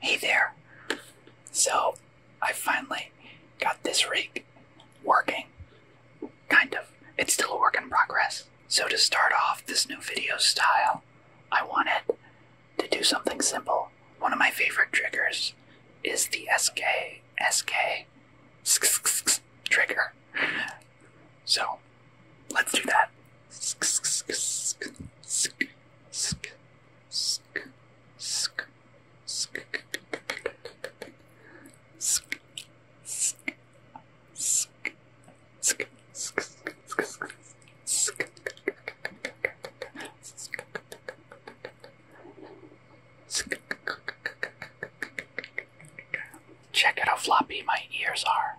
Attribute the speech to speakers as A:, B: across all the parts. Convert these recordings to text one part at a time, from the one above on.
A: Hey there! So, I finally got this rig working. Kind of. It's still a work in progress. So, to start off this new video style, I wanted to do something simple. One of my favorite triggers is the SK, SK, SK trigger. So, let's do that.
B: Sk, sk,
A: Check out how floppy my ears are.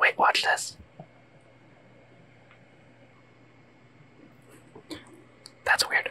A: Wait, watch this.
B: That's weird.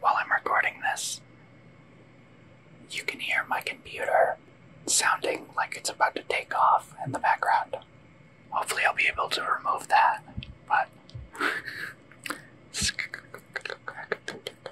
A: while I'm recording this, you can hear my computer sounding like it's about to take off in the background. Hopefully, I'll be able to remove that, but.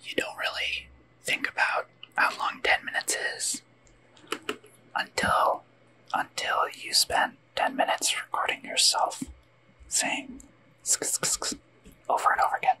A: You don't really think about how long 10 minutes is until until you spend 10 minutes recording yourself saying sk -sk over and over again.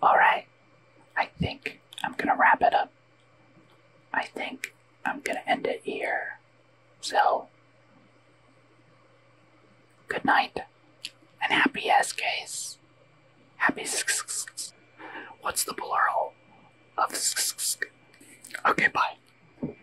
A: Alright, I think I'm gonna wrap it up. I think I'm gonna end it here. So, good night and happy SKs. Happy. What's the plural of? Okay, bye.